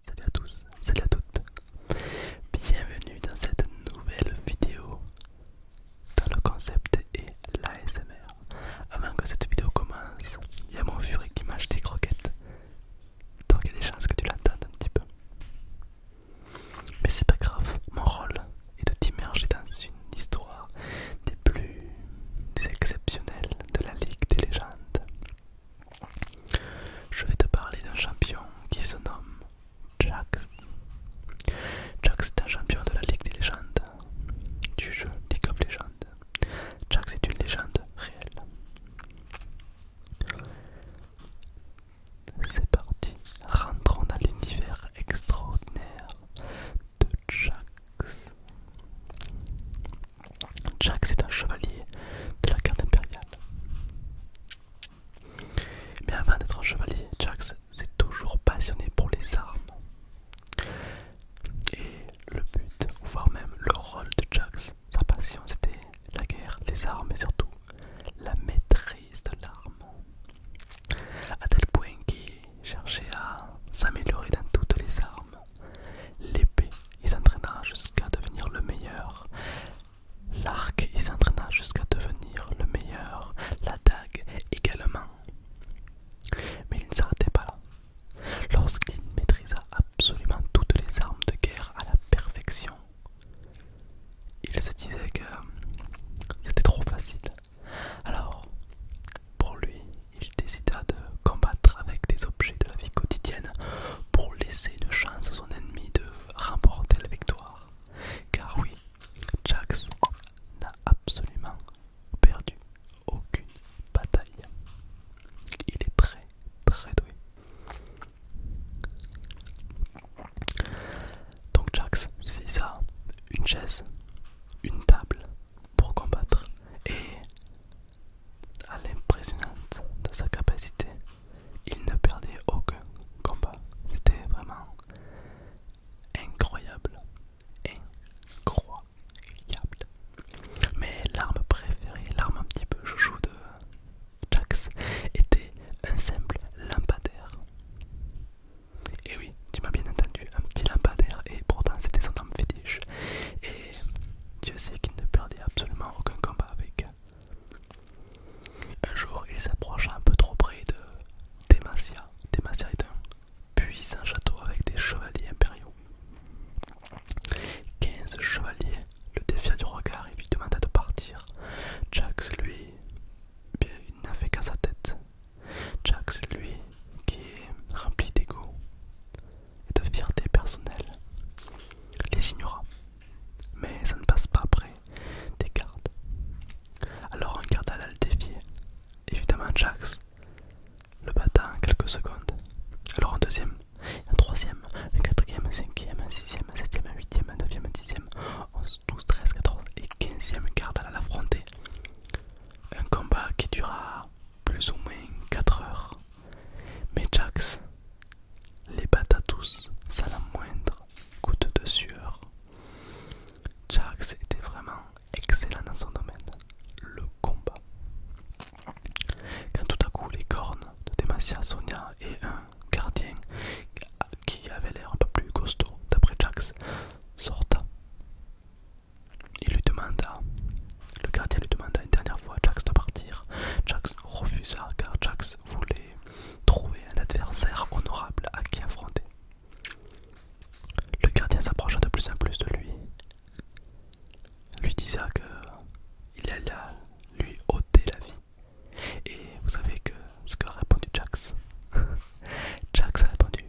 Salut à tous, salut à toutes, bienvenue dans cette nouvelle vidéo dans le concept et l'ASMR. Avant que cette vidéo commence, il y a mon furieux qui mange des croquettes. Donc il y a des chances que tu l'entendes un petit peu. Mais c'est pas grave, mon rôle est de t'immerger dans une histoire des plus exceptionnelles de la Ligue des légendes. Je vais te parler d'un champion qui se nomme Jax. Jax est un champion de la Ligue des légendes, du jeu League of Legends. Jax est une légende réelle. C'est parti, rentrons dans l'univers extraordinaire de Jax. Jax est un chevalier de la garde impériale. Mais avant d'être un chevalier, Jax s'est toujours passionné pour les armes. Et le but, voire même le rôle de Jax, sa passion, c'était la guerre, les armes et surtout la maîtrise de l'arme. A tel point qu'il cherchait à s'améliorer dans toutes les armes. L'épée, il s'entraîna jusqu'à devenir le meilleur. L'arc, il s'entraîna jusqu'à devenir le meilleur. La dague également. Mais il ne s'arrêtait pas là. Lorsqu'il maîtrisa absolument toutes les armes de guerre à la perfection, il se disait que c'était trop facile. Alors, pour lui, il décida de combattre avec des objets de la vie quotidienne pour laisser une chance à son ennemi de remporter la victoire. Car oui, Jax n'a absolument perdu aucune bataille. Il est très très doué. Donc Jax, c'est ça, une chaise, une table pour combattre et à l'impressionnante de sa capacité, il ne perdait aucun combat. C'était vraiment incroyable. Incroyable. Mais l'arme préférée, l'arme un petit peu chouchou de Jax, était un simple lampadaire. Et oui, tu m'as bien entendu, un petit lampadaire, et pourtant c'était son arme fétiche. Et Dieu sait qu'il ne perdait absolument aucun combat avec. Un jour, il s'approcha un peu trop près de Demacia. Demacia est un un château avec des chevaliers impériaux. 15 chevaliers le défia du regard et lui demanda de partir. Jax, lui, il n'a fait qu'à sa tête. Jax, lui, qui est rempli d'ego et de fierté personnelle, les ignora. Mais ça ne passe pas après des gardes. Alors un garde alla le défier. Évidemment, Jax, le bata en quelques secondes. Alors en deuxième, un troisième, quatrième, cinquième, un sixième, un septième, un huitième, un neuvième, un dixième, onze, douze, treize, quatorze et quinzième garde à l'affronter. Un combat qui dura plus ou moins 4 heures. Mais Jax les bata tous sans la moindre goutte de sueur. Jax était vraiment excellent dans son domaine, le combat. Quand tout à coup les cornes de Demacia, Sonia et un gardien qui avait l'air un peu plus costaud, d'après Jax, sorta. Il lui demanda, le gardien lui demanda une dernière fois à Jax de partir. Jax refusa car Jax voulait trouver un adversaire honorable à qui affronter. Le gardien s'approcha de plus en plus de lui lui disait que il allait lui ôter la vie. Et vous savez que ce qu'a répondu Jax. Jax a répondu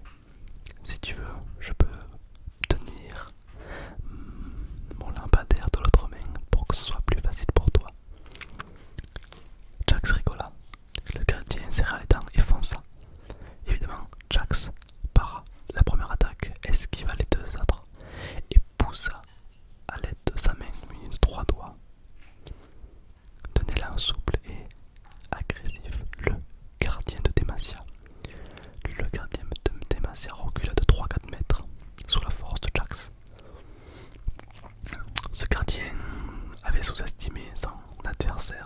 Si tu veux, je peux tenir mm, mon lampadaire de l'autre main pour que ce soit plus facile pour toi. Jax rigola. Le gardien serra les dents et fonça. Évidemment, Jax par la première attaque, esquiva les deux autres et poussa à l'aide de sa main munie de trois doigts. donnez la souple et agressif le gardien de Demacia. Le gardien de Demacia recula de 3-4 mètres sous la force de Jax. Ce gardien avait sous-estimé son adversaire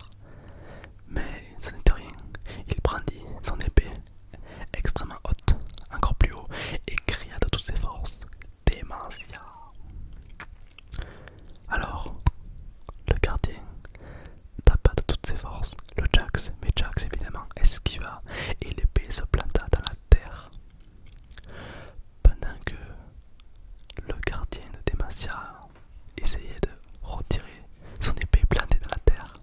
mais ce n'était rien. Il brandit son épée extrêmement haute, encore plus haut, et cria de toutes ses forces Demacia !» Alors, le gardien tapa de toutes ses forces le Jax, mais Jax évidemment esquiva et l'épée se planta dans la terre. Pendant que le gardien de Démentia essayait de retirer son épée plantée dans la terre.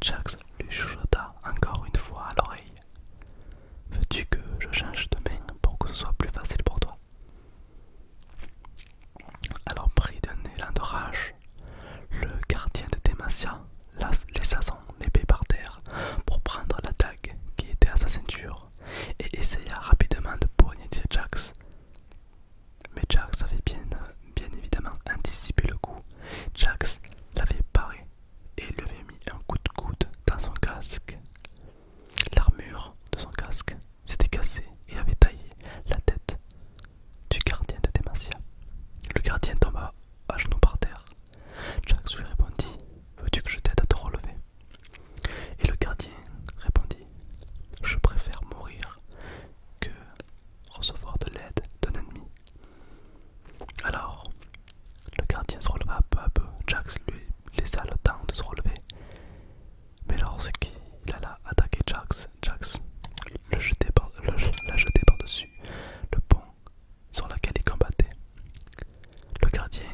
Jax lui chuchota encore une fois à l'oreille. Veux-tu que je change de main pour que ce soit plus facile pour toi Alors pris d'un élan de rage, le gardien de Demacia laissa son épée par terre pour prendre la dague qui était à sa ceinture et essaya rapidement de poignarder Jax mais Jax avait bien, euh, bien évidemment anticipé le coup. Jax l'avait paré et lui avait mis un coup de coude dans son casque. L'armure de son casque s'était cassée et avait taillé la tête du gardien de Demacia. Le gardien tomba à genoux par terre. Jax lui répondit Veux-tu que je t'aide à te relever Et le gardien répondit Je préfère mourir que recevoir de l'aide d'un ennemi. Alors, le gardien se releva peu à peu. Jax lui laissa le temps de se relever. Mais lorsqu'il alla attaquer Jax, Jax le jeté par-dessus le, pont sur lequel il combattait. Le gardien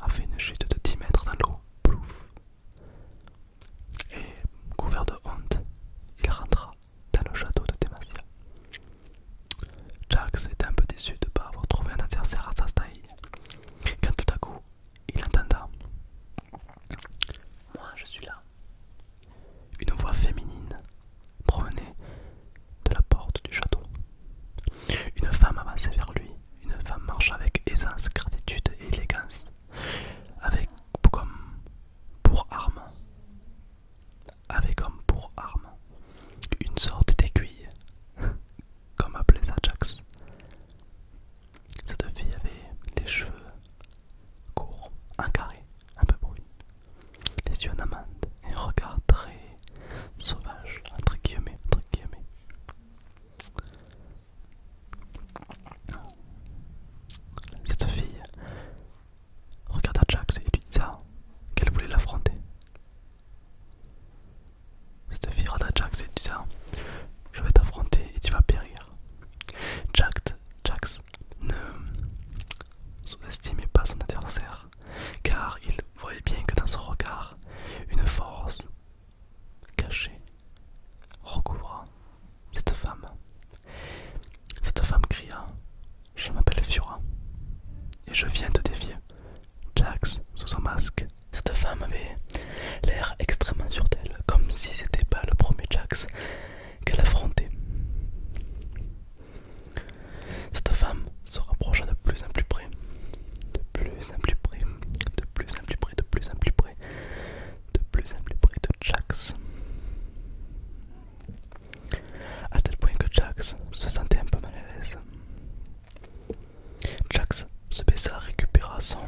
a fait une chute de 10 mètres dans l'eau. Plouf et couvert de honte, il rentra dans le château de Demacia. Jax était un peu déçu de ne pas avoir trouvé un adversaire à sa taille, quand tout à coup il entenda Moi je suis là. Une voix féminine promenait de la porte du château. Une femme avançait vers lui, une femme marche avec aisance, gratitude et élégance avec comme pour arme, avec comme pour arme, une sorte d'aiguille, comme appelait ça Jax. Cette fille avait les cheveux courts, un carré, un peu bruit, les yeux en amande et un regard très sauvage, entre guillemets, entre guillemets. Cette fille regarda Jax et lui dit qu'elle voulait l'affronter. Cette fille regarda Jax et lui dit Je vais t'affronter et tu vas périr. Jack, Jax ne sous-estimait pas son adversaire car il voyait bien que dans son regard, une force caché, recouvra cette femme. Cette femme cria Je m'appelle Fiora et je viens de défier. Jax, sous son masque, cette femme avait l'air extrêmement sur d'elle, comme si c'était pas le premier Jax qu'elle affrontait. Cette femme se rapprocha de plus en plus près de plus en plus près, de plus en plus près, de plus en plus près, de plus en plus près de Jax. À tel point que Jax se sentait un peu mal à l'aise. Jax se baissa, récupéra son,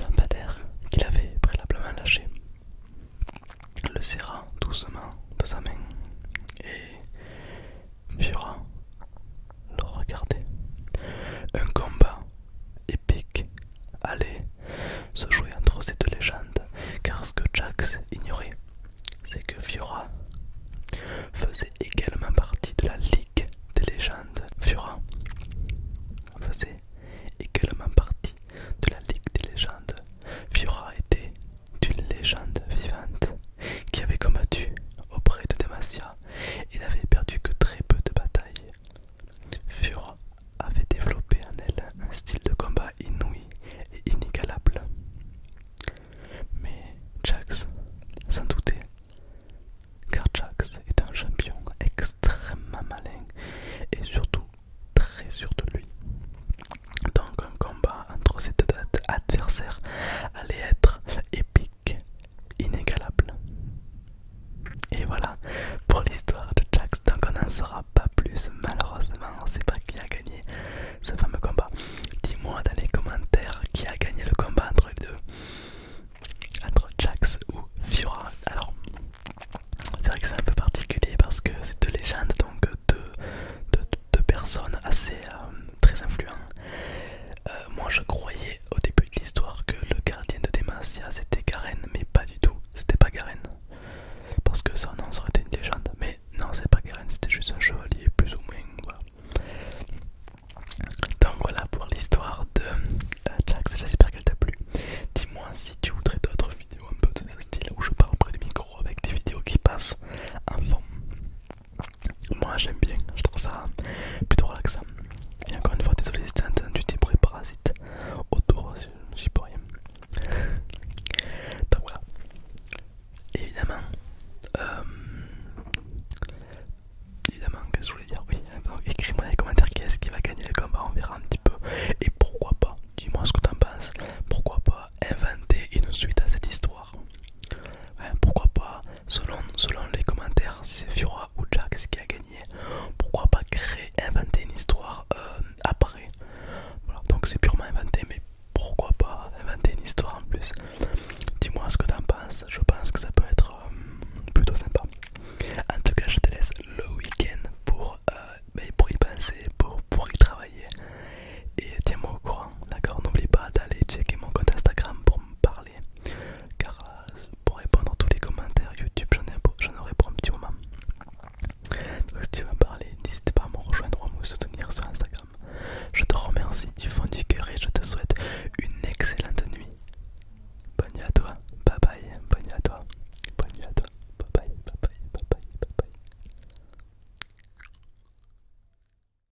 lampadaire qu'il avait préalablement lâché, le serra doucement de sa main et vira le regarder Un combat épique allez, se jouer entre ces deux légendes, car ce que Jax ignorait, c'est que Fiora faisait également partie de la Ligue des légendes. Fiora faisait également partie de la Ligue des légendes. Fiora était une légende vivante qui avait combattu auprès de Demacia il avait n'avait perdu que très peu de batailles. Fura avait développé en elle un style de combat inouï et inégalable. Mais Jax sans doutait, car Jax est un champion extrêmement malin et surtout très sûr de lui. Donc un combat entre ces deux adversaires allait être épique inégalable. Et voilà pour l'histoire de Jax, donc on n'en saura pas plus malheureusement, on sait pas qui a gagné ce fameux combat. Dis-moi dans les commentaires qui a gagné le combat entre les deux, entre Jax ou Fiora. Alors c'est vrai que c'est un peu particulier parce que c'est deux légendes, donc deux, personnes assez euh, très influentes. Euh, moi je croyais au début de l'histoire que le gardien de Demacia c'était Garen, mais pas du tout, c'était pas Garen. Parce que ça, non, ça été une légende, mais non, c'est pas Garen, c'était juste un chevalier, plus ou moins. Voilà. Donc voilà pour l'histoire de euh, Jax, j'espère qu'elle t'a plu. Dis-moi si tu voudrais d'autres vidéos un peu de ce style où je parle près du micro avec des vidéos qui passent en fond. Moi j'aime bien, je trouve ça plutôt relaxant. Et encore une fois, désolé si t'as entendu des bruits parasites autour, j'y peux rien. Donc voilà. Évidemment, euh, évidemment, qu'est-ce que je voulais dire Oui, écris-moi les commentaires est ce qui va gagner le combat, on verra un petit peu. Et pourquoi pas, dis-moi ce que en penses, pourquoi pas inventer une suite à cette histoire pourquoi pas Selon, les commentaires, si c'est Fiora ou Jax qui a gagné, pourquoi pas créer, inventer une histoire euh, après Donc c'est purement inventé, mais pourquoi pas inventer une histoire en plus Dis-moi ce que t'en penses, je pense que ça peut être euh, plutôt sympa. En tout cas, je te laisse le week-end pour, euh, pour y penser, pour, pour y travailler. Et tiens-moi au courant, d'accord N'oublie pas d'aller checker mon compte Instagram pour me parler car euh, pour répondre à tous les commentaires YouTube j'en aurai pour un petit moment. Donc si tu veux parler, n'hésite pas à me rejoindre ou à me soutenir sur Instagram. Je te remercie du fond du cœur et je te souhaite une excellente nuit. Bonne nuit à toi, bye bye, bonne nuit à toi, bonne nuit à toi, bye bye, bye bye, bye bye, bye bye.